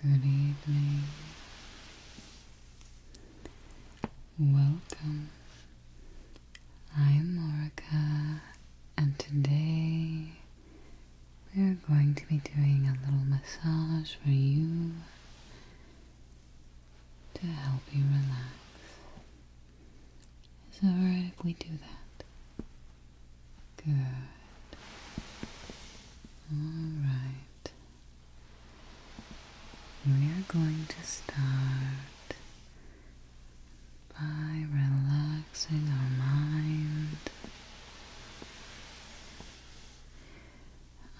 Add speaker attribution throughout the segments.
Speaker 1: Good evening. Welcome. I'm Morika, and today we are going to be doing a little massage for you to help you relax. Is it alright if we do that? Good. Alright. We are going to start by relaxing our mind.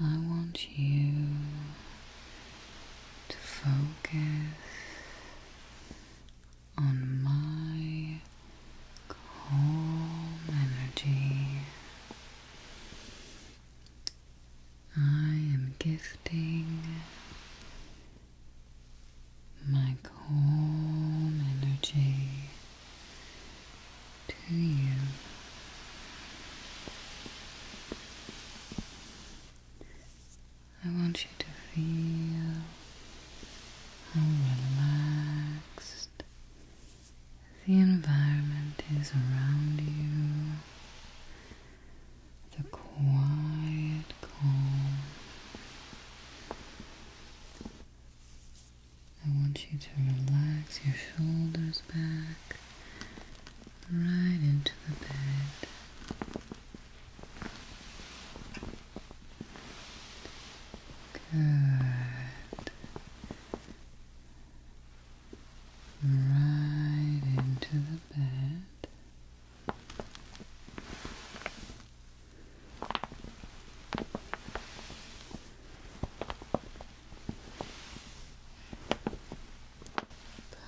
Speaker 1: I want you to focus on my calm energy. I am gifting my calm energy to you. I want you to feel relaxed the environment is around you, the quiet calm. I want you to relax your shoulders back right into the bed. Good. Right into the bed.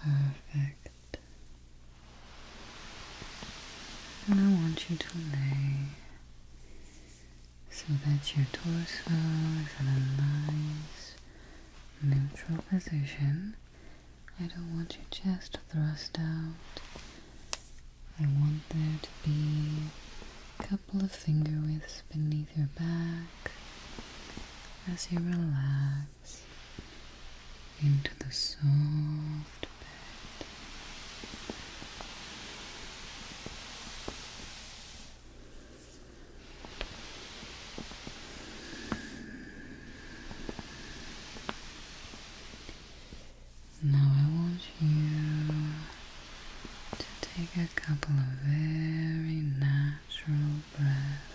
Speaker 1: Perfect. And I want you to lay so that your torso is in a nice neutral position. I don't want your chest thrust out. I want there to be a couple of finger widths beneath underneath your back as you relax into the soft bed. Now, I want you to take a couple of very nice natural breath.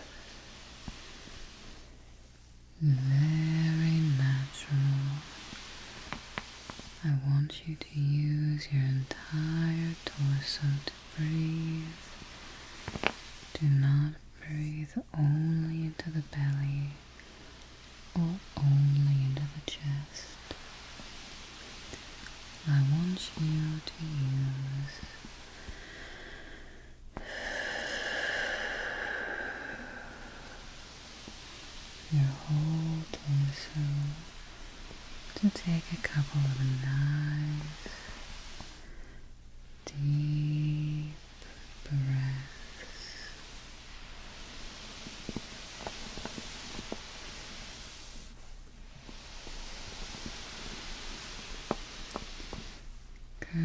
Speaker 1: Very natural. I want you to use your entire torso to breathe. Do not breathe only into the belly or only into the chest. I want you to use your whole torso to take a couple of nice deep breaths. Good.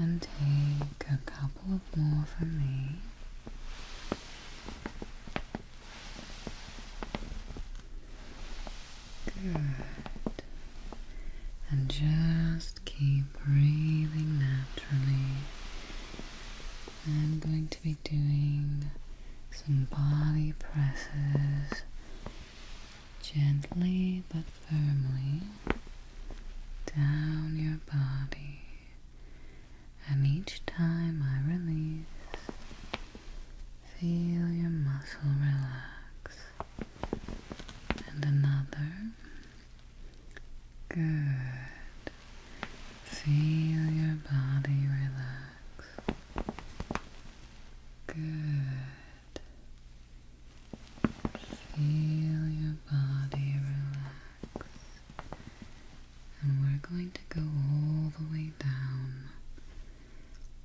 Speaker 1: And take a couple of more from me. Good. And just keep breathing naturally. I'm going to be doing some body presses gently but firmly down your body, and each time I release, feel your muscle relax. And another. Good. Feel your body relax. Good. Feel your body relax. And we're going to go all the way down.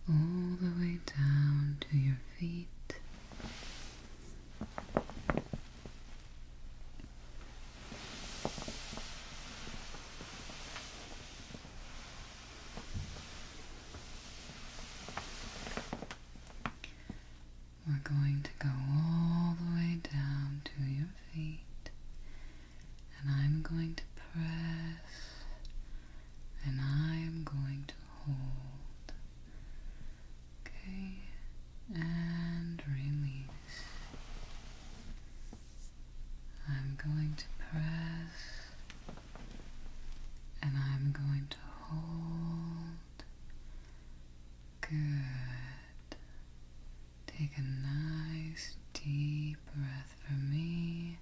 Speaker 1: All the way down to your feet. We're going to go all the way down to your feet, and I'm going to press, and I'm going to hold. Okay, and release. I'm going to press and I'm going to hold. Good. Take a nice deep breath for me.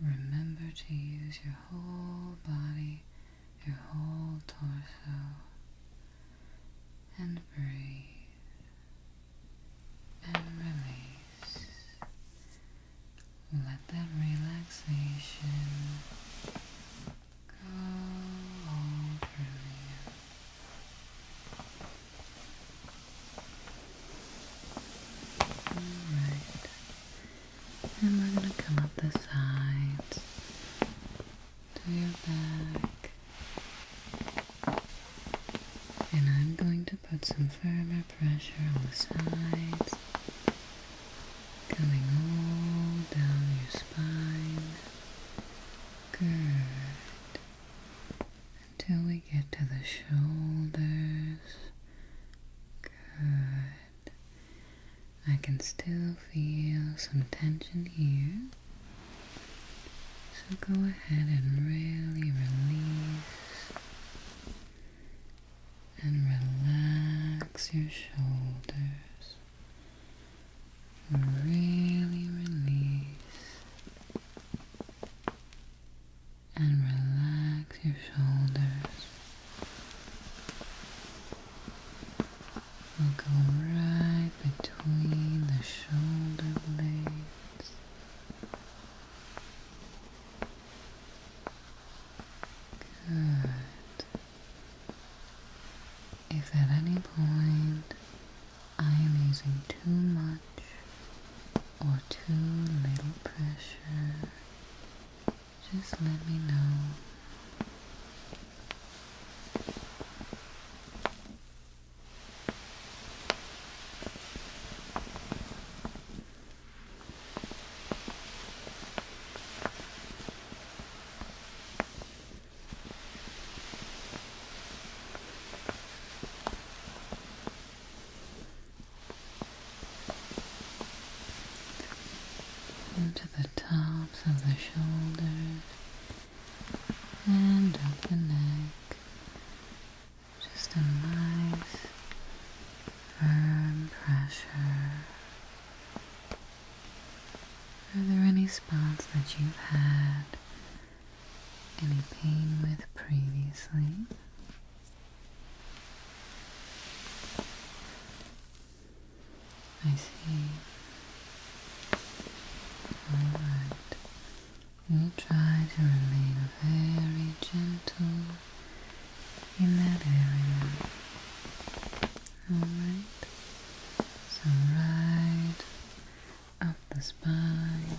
Speaker 1: Remember to use your whole body your whole torso and breathe and release. Let that relaxation go all through you. Alright, and we're going to come up the sides to your back. And I'm going to put some firmer pressure on the sides, coming all down your spine. Good. Until we get to the shoulders. Good. I can still feel some tension here. So go ahead and really release and relax your shoulders. Really release and relax your shoulders. We'll go right between the shoulder blades. Good. If at any point I am using too much or too little pressure, just let me know into the tops of the shoulders and up the neck. Just a nice firm pressure. Are there any spots that you've had any pain with previously? I see. Alright. We'll try to remain very gentle in that area. Alright. So right up the spine.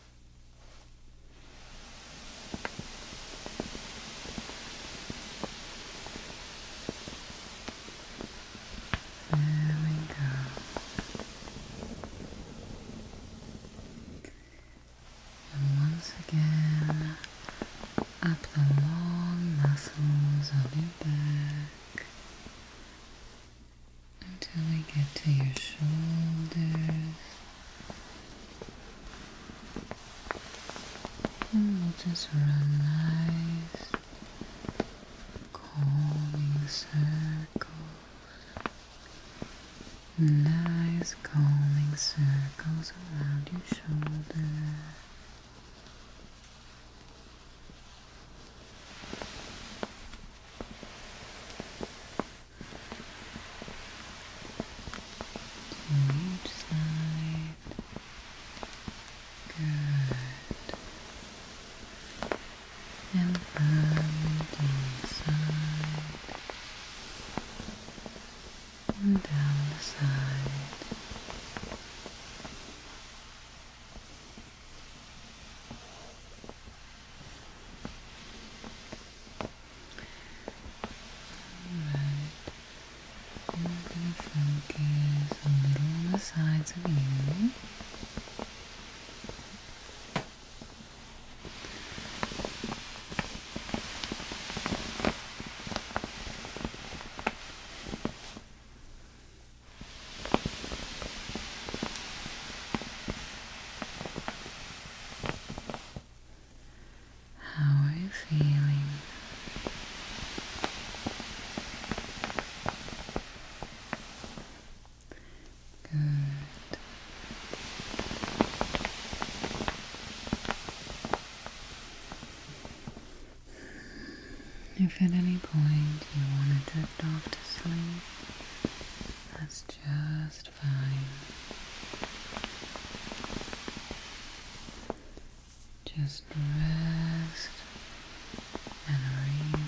Speaker 1: There we go. And once again, up the long muscles of your back until we get to your shoulders and hmm, we'll just run nice calming circles, nice calming circles around your shoulder. To each side. Good. And from the inside. And down the side. I'm going to focus a little on the sides of you. How are you feeling? Good. If at any point you want to drift off to sleep, that's just just rest and relax.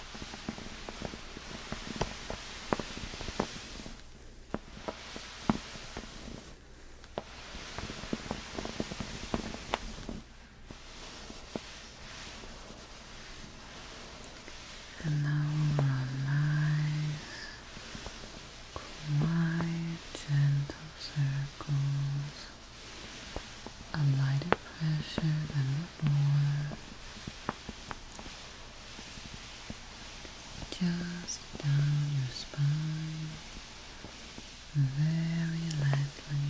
Speaker 1: And now we're quiet, gentle circles. A lighter pressure than before just down your spine very lightly.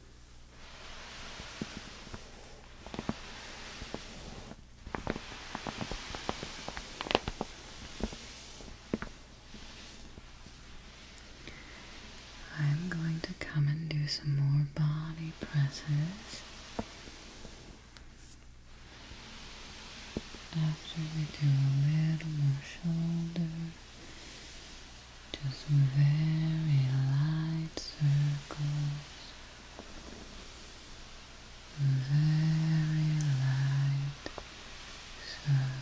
Speaker 1: I'm going to come and do some more body presses after we do a little more shoulder just very light circles, very light circles.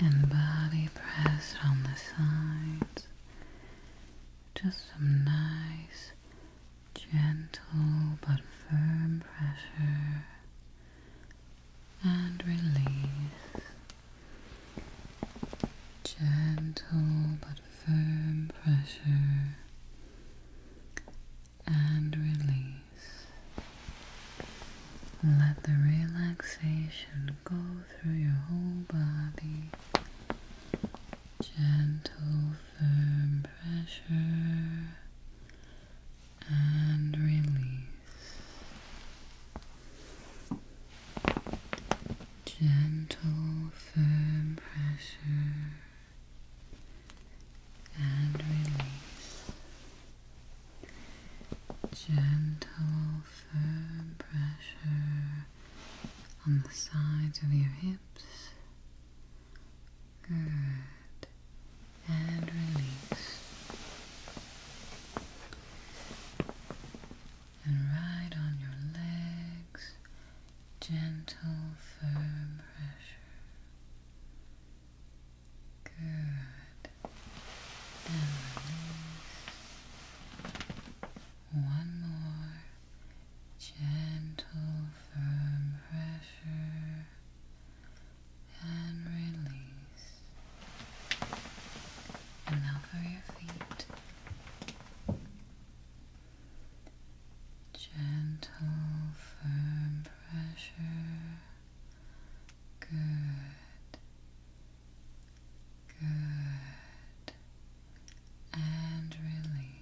Speaker 1: And body pressed on the sides. Just some nice, gentle but firm pressure and release. Gentle but firm pressure and release. Let the relaxation go through your whole body. Gentle, firm pressure and release. Gentle, firm pressure and release. Gentle, firm pressure on the sides of your hips Good. And release. And ride on your legs. Gentle, firm pressure. Good. And release. One more. Gentle, firm pressure and release. And now for your feet. Gentle, firm pressure. Good. Good. And release.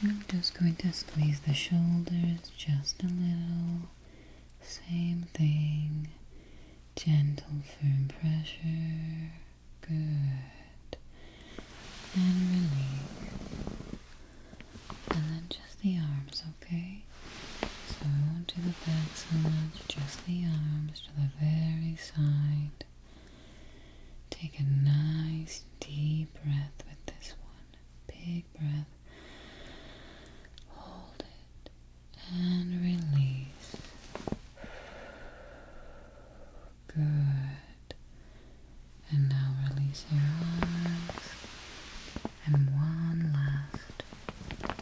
Speaker 1: I'm just going to squeeze the shoulders just a little. Same thing. Gentle, firm pressure. Good. And release. And then just the arms, okay? So I will not do the back so much, just the arms to the very side. Take a nice deep breath with this one. Big breath. Hold it and release. Good. And now release your arms. And one last.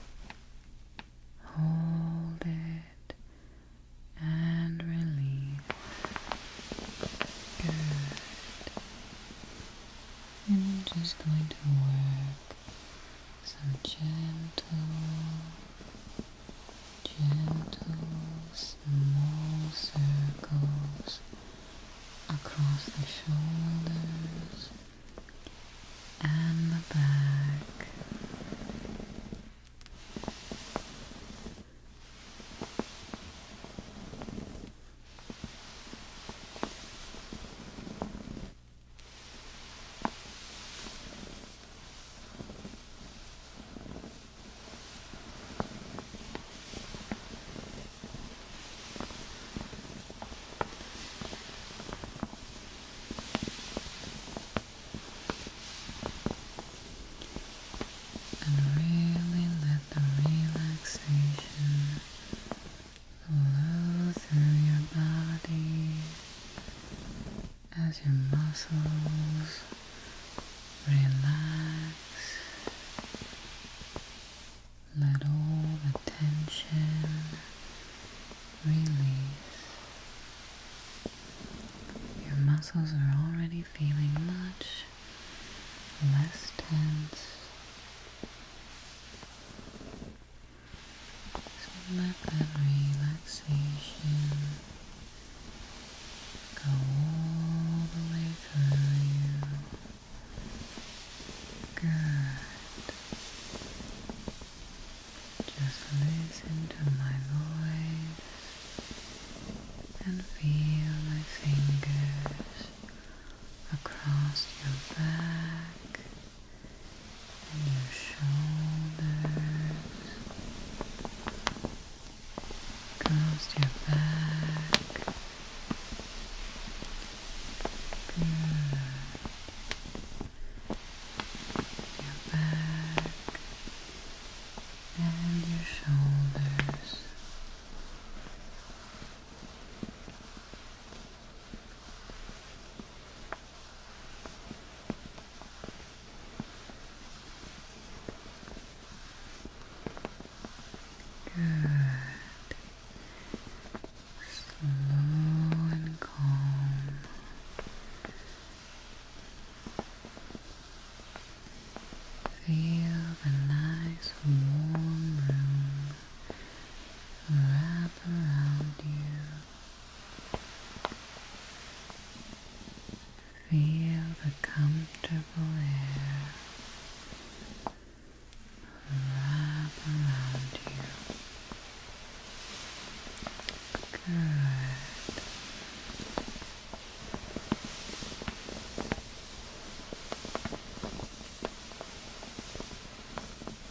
Speaker 1: Hold it and release. Good. And I'm just going to work some gentle, gentle, small circles across the shoulders and the back. And really let the relaxation Flow through your body as your muscles relax. Let all the tension release. Your muscles are already feeling much less tense. So let that relaxation go all the way through you. Good. Just listen to my voice and feel my fingers across your back your shoulders, across your back. Your back and your shoulders. Good. Slow and calm. Feel the nice warm room wrap around you. Feel the comfortable air wrap around you. Good.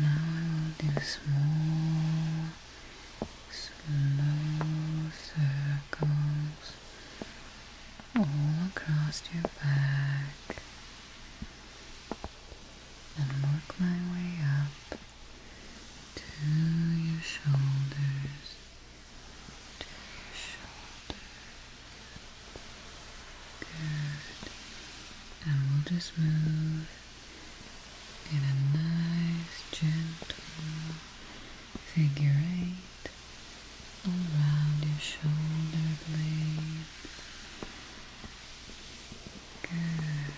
Speaker 1: Now I will do small, slow circles all across your back and work my way up to your shoulders. Good. And we'll just move in a nice, gentle figure eight around your shoulder blade, Good.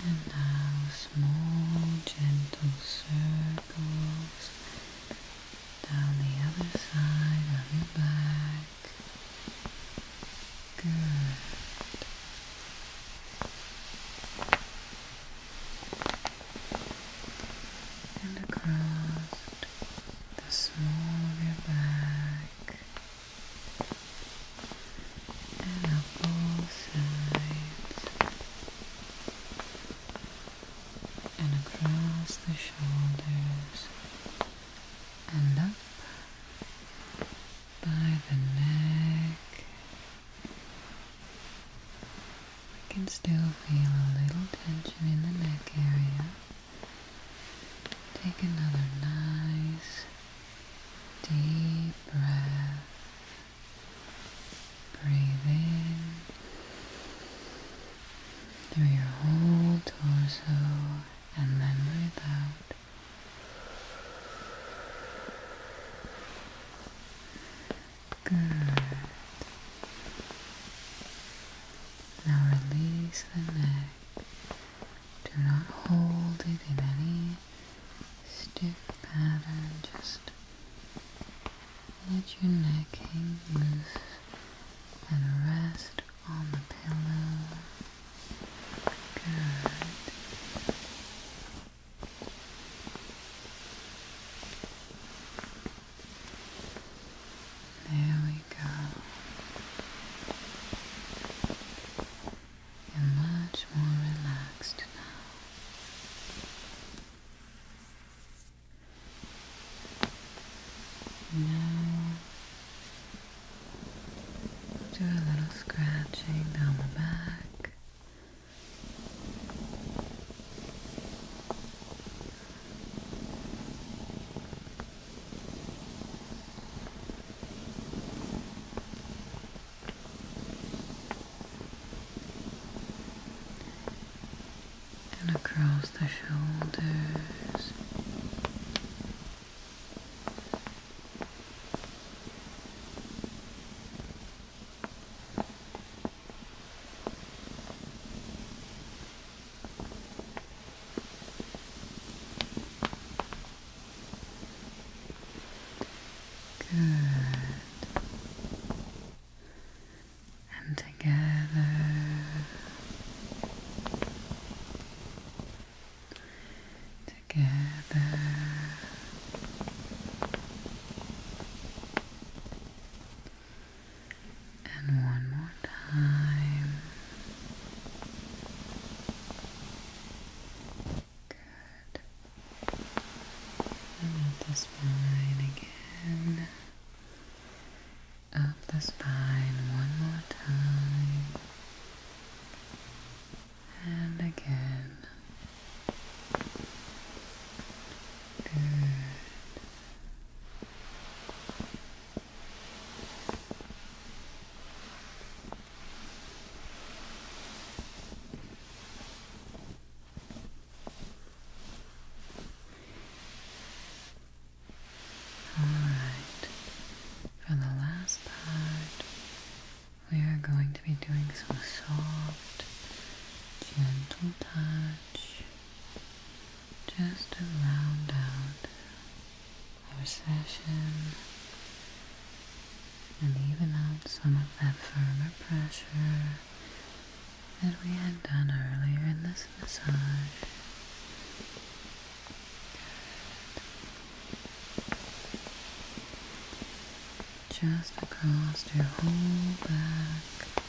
Speaker 1: And now small gentle circles down the other side of your back. Good. And across the small of your back and up both sides and across the shoulders and up by the neck. I can still feel a little tension in the neck area. Take another nice Deep breath. Breathe in through your whole torso and then breathe out. Good. Now release the neck. Do not hold it in any stick pattern, just let your neck hang loose and rest on the pillow. Good. There we go. You're much more relaxed now. Now, do a little scratching down the back and across the shoulders. Good. And together. Together. And one more time. And up the spine again. Up the spine one more time. And again. Good. All right, for the last part, we are going to be doing some soft, gentle touch just to round out a session, and even out some of that firmer pressure that we had done earlier in this massage. Just across your whole back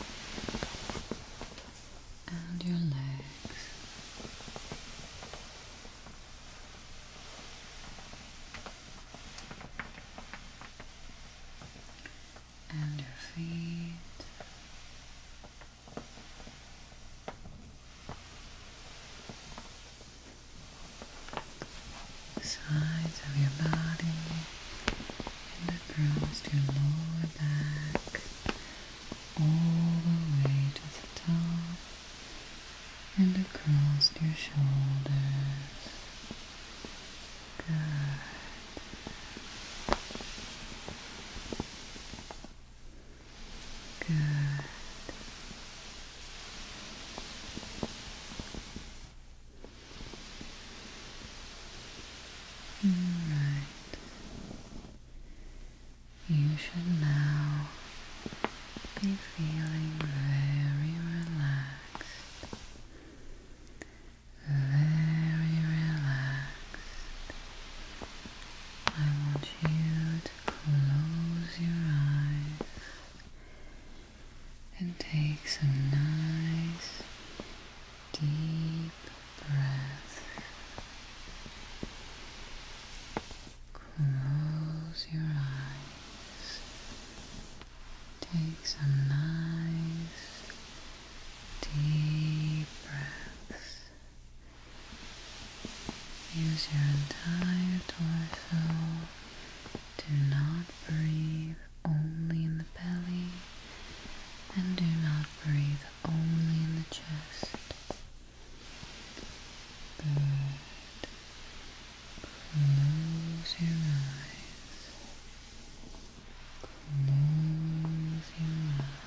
Speaker 1: and your legs and your feet. The sides of your body and across your lower back all the way to the top and across your shoulders. Good. Good. All right. You should now be feeling very relaxed, very relaxed. I want you to close your eyes and take some nice deep breaths. Close your eyes. Take some nice deep breaths. Use your entire torso. Do not breathe only in the belly and do not breathe only in the chest. Good. Close your eyes. Close your eyes.